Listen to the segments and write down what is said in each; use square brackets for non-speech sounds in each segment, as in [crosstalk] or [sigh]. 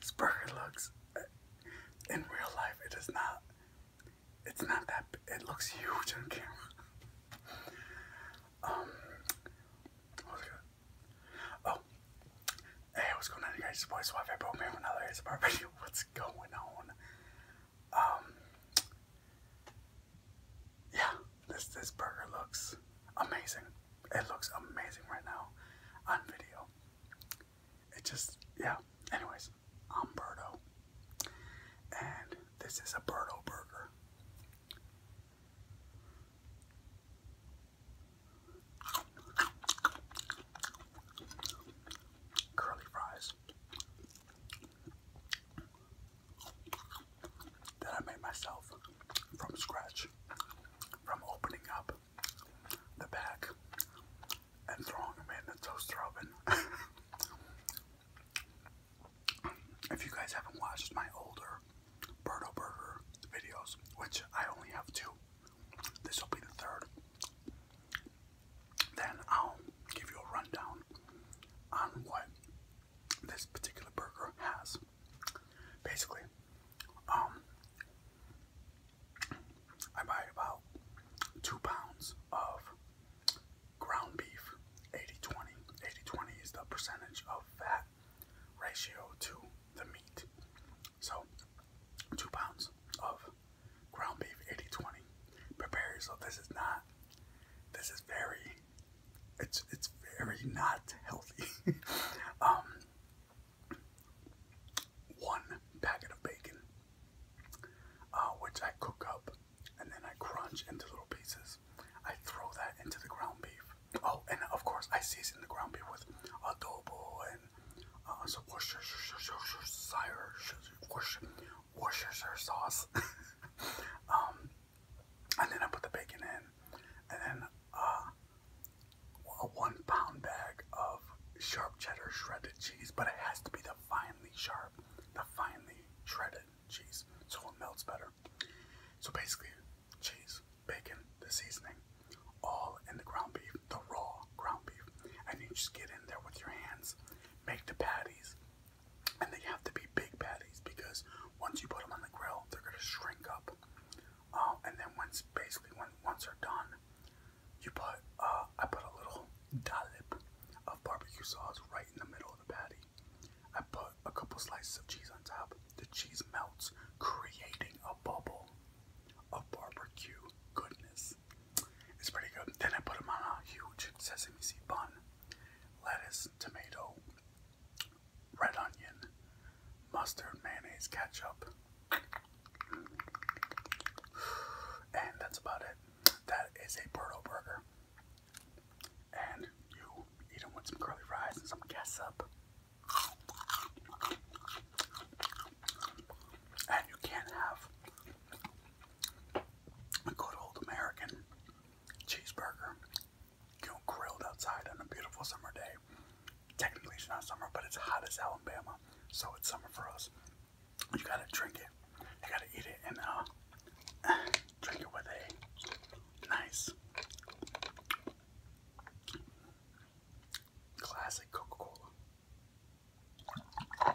this burger looks, in real life, it is not, it's not that, it looks huge on camera. Um, Oh, hey, what's going on, guys? It's your Bro, man, another ASMR video. What's going on? Um, yeah, this this burger looks amazing. It looks amazing right now on video. It just yeah. Anyways, i and this is a burger. Curly fries that I made myself from scratch, from opening up the bag and throwing them in the toaster oven. [laughs] if you guys haven't watched my older Birdo Burger videos, which I only have two, this will be the third, then I'll give you a rundown on what this particular burger has. Basically, um, I buy about two pounds of ground beef, 80-20. 80-20 is the percentage of fat ratio to the meat. So, two pounds of ground beef, 80-20. Prepare yourself. This is not, this is very it's it's very not healthy. [laughs] Um, one packet of bacon, uh, which I cook up and then I crunch into little pieces. I throw that into the ground beef. Oh, and of course I season the ground beef with adobo and uh, some Worcestershire Worcestershire sauce. [laughs] Um, and then I put the bacon in, and then uh, a one pound bag of sharp cheddar shredded cheese, but it has to be the finely sharp, the finely shredded cheese, so it melts better. So basically, cheese, bacon, the seasoning, all in the ground beef, the raw ground beef, and you just get in there with your hands, make the patties, and they have to be big patties because once you put them on the grill, they're gonna shrink up. Uh, and then once, basically, when once they're done, you put uh, I put a little dollop of barbecue sauce right in the middle of the patty. I put a couple slices of cheese on top. The cheese melts, creating a bubble of barbecue goodness. It's pretty good. Then I put them on a huge sesame seed bun lettuce, tomato, red onion, mustard, mayonnaise, ketchup. And that's about it. That is a burrito burger. And you eat them with some curly fries and some ketchup. And you can't have a good old American cheeseburger, you know, grilled outside on a beautiful summer day. Technically, it's not summer, but it's hot as Alabama, so it's summer for us. You gotta drink it, you gotta eat it, and uh, [sighs] drink it with a nice classic Coca Cola.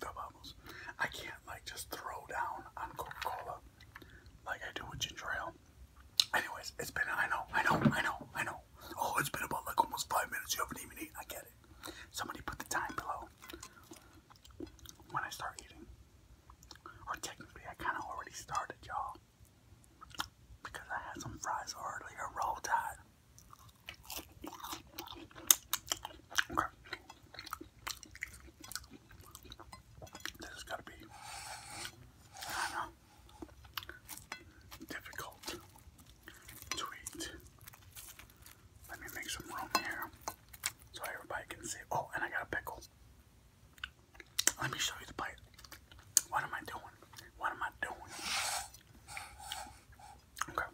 Vamos. [sighs] I can't like just throw down on Coca-Cola like I do with ginger ale. Anyways, it's been I know, I know, I know, I know. Oh, it's been about like almost five minutes. You haven't even eaten. I get it. Somebody put the time below when I start eating. Or technically, I kind of already started, y'all, because I had some fries earlier. Roll Tide. Okay. This has got to be, I don't know, difficult to Let me make some room here so everybody can see. Oh, and I got a pickle. Let me show you the bite. What am I doing? What am I doing? Okay.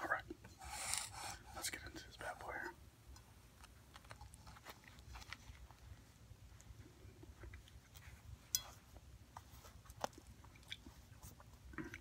All right, let's get into this bad boy here.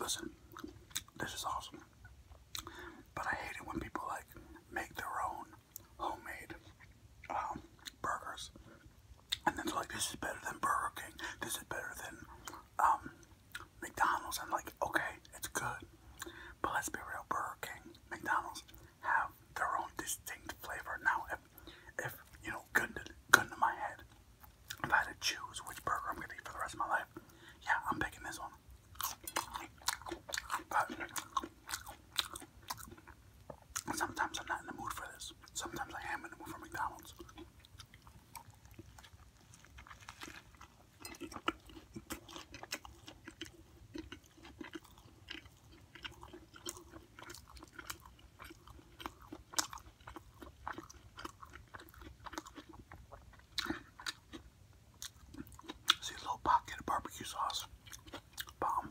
Listen, this is awesome. But I hate it when people like make their own homemade um, burgers, and then it's like this is better than Burger King. This is better than um, McDonald's. I'm like, okay, it's good, but let's be real. Burger King, McDonald's have their own distinct flavor. Now, if if you know, gun to, gun to my head, if I had to choose which burger I'm gonna eat for the rest of my life, yeah, I'm picking this one sometimes I'm not in the mood for this. Sometimes I am in the mood for McDonald's. See a little pocket of barbecue sauce. Bomb.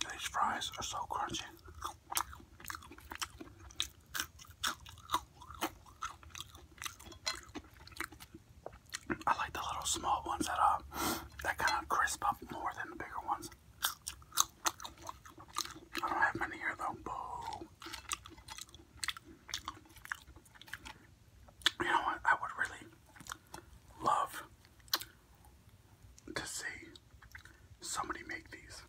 These fries are so crunchy. I like the little small ones that uh that kind of crisp up more than the bigger ones. I don't have many here though. Boo. You know what? I would really love to see somebody make these.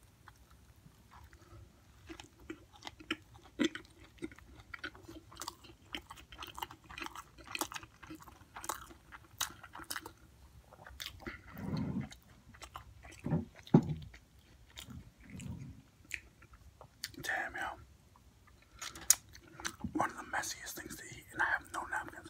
Damn, you! One of the messiest things to eat, and I have no napkins.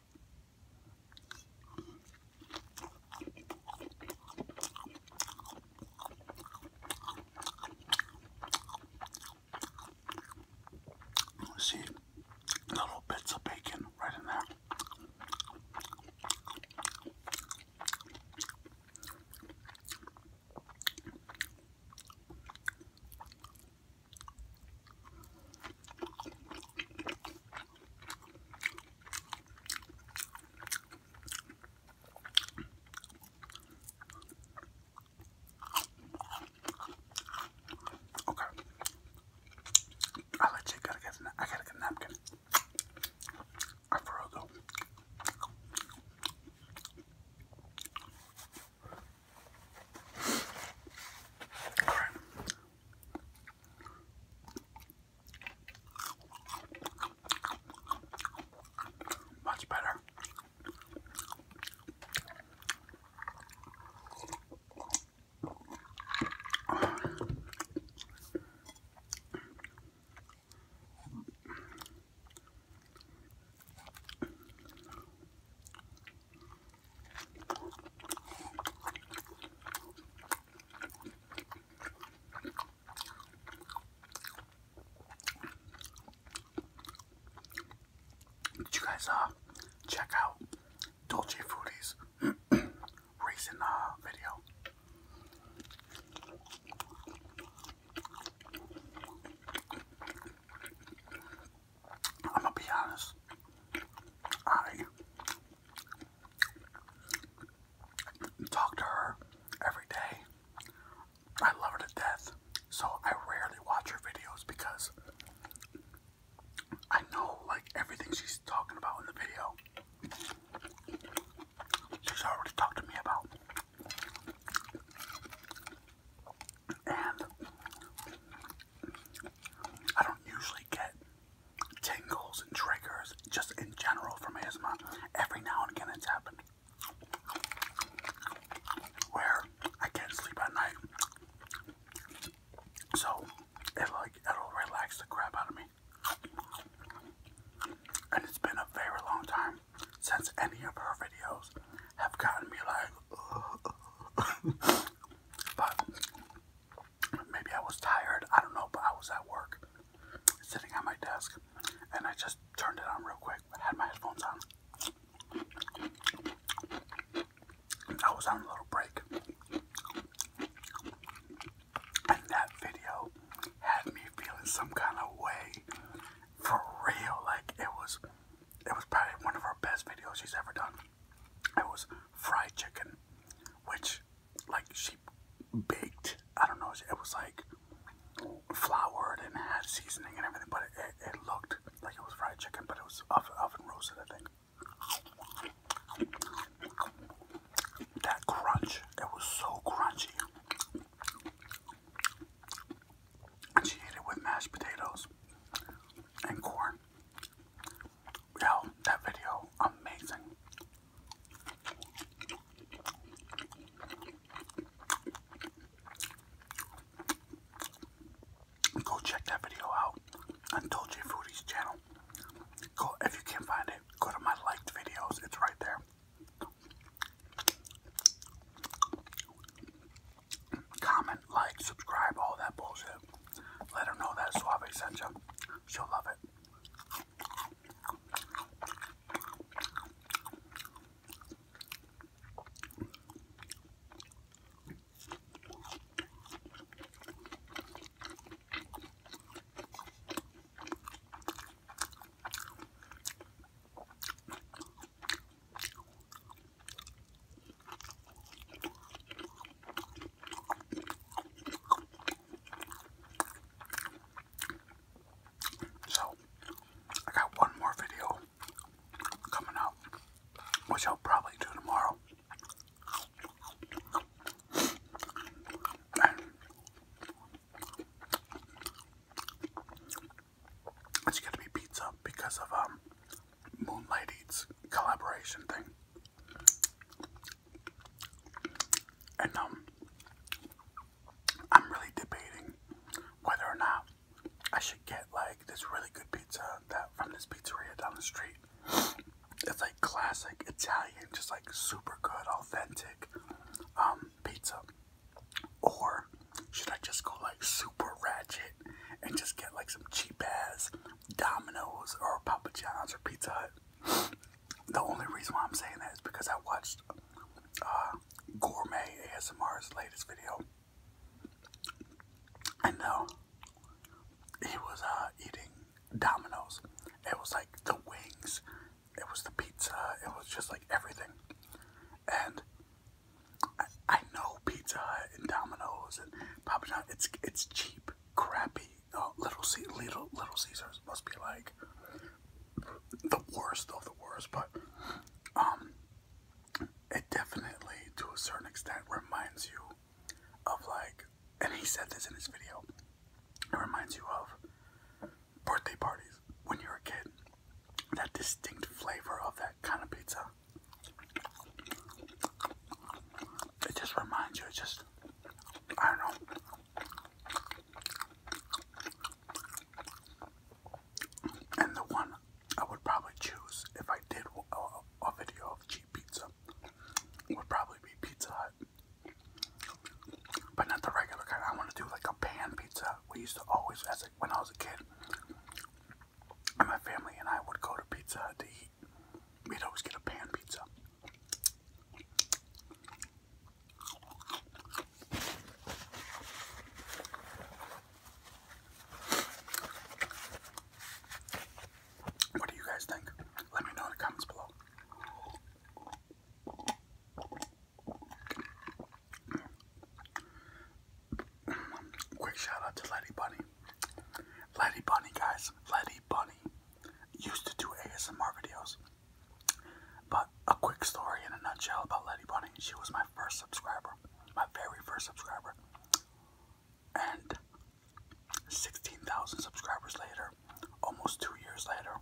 See little bits of bacon right in there. Okay. I legit got get a napkin. I for Alright. Much better. Did you guys uh check out Dolce Foodie's [clears throat] recent uh video? I'm gonna be honest. I talk to her every day. I love her to death. So I rarely watch her videos because I know like everything she's talking about in the video. She's already talked to me about. And I don't usually get tingles and triggers just in general from ASMR. Every now and again it's happened. Where I can't sleep at night. So it like it'll relax the crap out of me. And it's been a very long time since any of her videos have gotten me like [laughs] [laughs] But maybe I was tired. I don't know, but I was at work, sitting at my desk, and I just turned it on real quick. I had my headphones on. I was on a little break. And that video had me feeling some kind of way. For real. Like, it was it was probably one of her best videos she's ever done. It was fried chicken, which like she baked. I don't know. It was like floured and had seasoning and everything, but it, it, looked like it was fried chicken, but it was oven, oven roasted, I think. That crunch, it was so crunchy. And she ate it with mashed potatoes and corn. Yo, that video, amazing. Go check that video out on Dolce Foodie's channel. Go if you can't find it, go to my liked videos, it's right there. Comment, like, subscribe, all that bullshit. Let her know that Suave sent you. She'll love it. So, I got one more video coming out, which I'll probably do tomorrow. It's gonna be pizza because of um Moonlight Eats collaboration thing. And um, I'm really debating whether or not I should get like this really good pizza that from this pizzeria down the street. It's like classic Italian, just like super good, authentic um, pizza. Or should I just go like super ratchet and just get like some cheap ass Domino's or Papa John's or Pizza Hut? [sighs] The only reason why I'm saying that is because I watched uh, Gourmet ASMR's latest video. And uh, he was uh, eating Domino's. It was like the wings, it was the pizza, it was just like everything and I, know Pizza Hut and Domino's and Papa John. It's it's cheap, crappy. Uh, Little C, Little Little Caesars must be like the worst of the worst, but um, it definitely to a certain extent reminds you of like, and he said this in his video. It reminds you of birthday parties when you're a kid. That distinct flavor of that kind of pizza it just reminds you, it just, I don't know. And the one I would probably choose if I did a, video of cheap pizza would probably be Pizza Hut. But not the regular kind. I want to do like a pan pizza. We used to always, as a, when I was a kid, and my family and I would go to Pizza to eat. We'd always get a pan pizza. What do you guys think? Let me know in the comments below. Quick shout out to Letty Bunny. Letty Bunny, guys. Letty Bunny used to do ASMR videos. But a quick story in a nutshell about Letty Bunny. She was my first subscriber, my very first subscriber. And 16,000 subscribers later, almost two years later,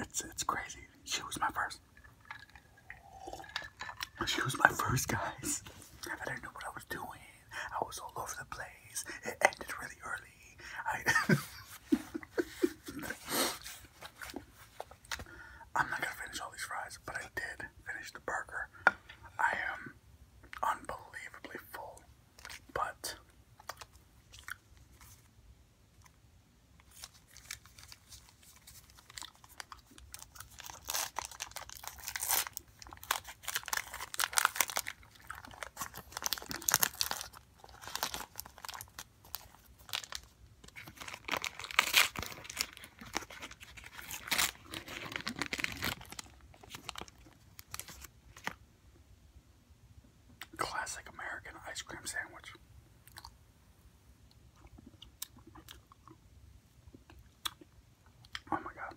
it's, it's crazy. She was my first. She was my first, guys. I didn't know what I was doing. I was all over the place. It ended really early. I [laughs] I'm not gonna finish all these fries, but I did finish the burger. I am unbelievably full, but Classic American ice cream sandwich. Oh my god.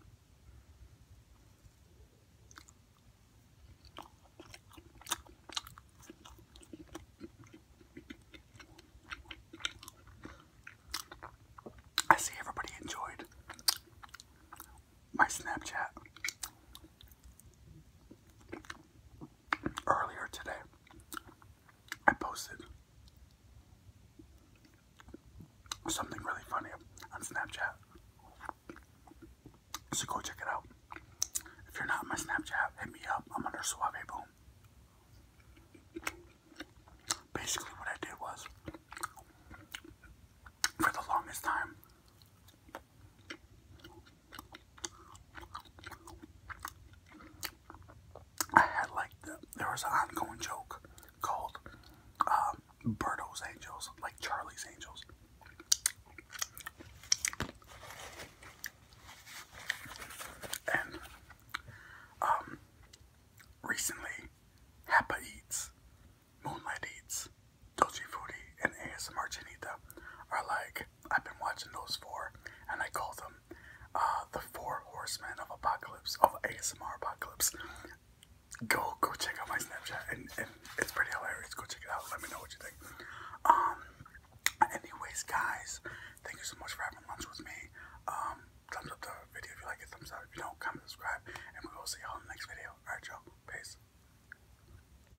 I see everybody enjoyed my Snapchat earlier today, I posted something really funny on Snapchat. So go check it out. If you're not on my Snapchat, hit me up. I'm under Suave Boom. Basically, what I did was, for the longest time, I had like there was an ongoing joke called um, Angels, like Charlie's Angels. And um, recently, Happa Eats, Moonlight Eats, Dolce Foodie and ASMR Chinita are like, I've been watching those four, and I call them uh, the four horsemen of apocalypse, of ASMR apocalypse. Go, go check out my Snapchat, and, it's pretty hilarious. Go check it out. Let me know what you think. Um, anyways, guys, thank you so much for having lunch with me. Um, thumbs up the video if you like it. Thumbs up if you don't. Comment, subscribe, and we will see y'all in the next video. Alright, y'all. Peace.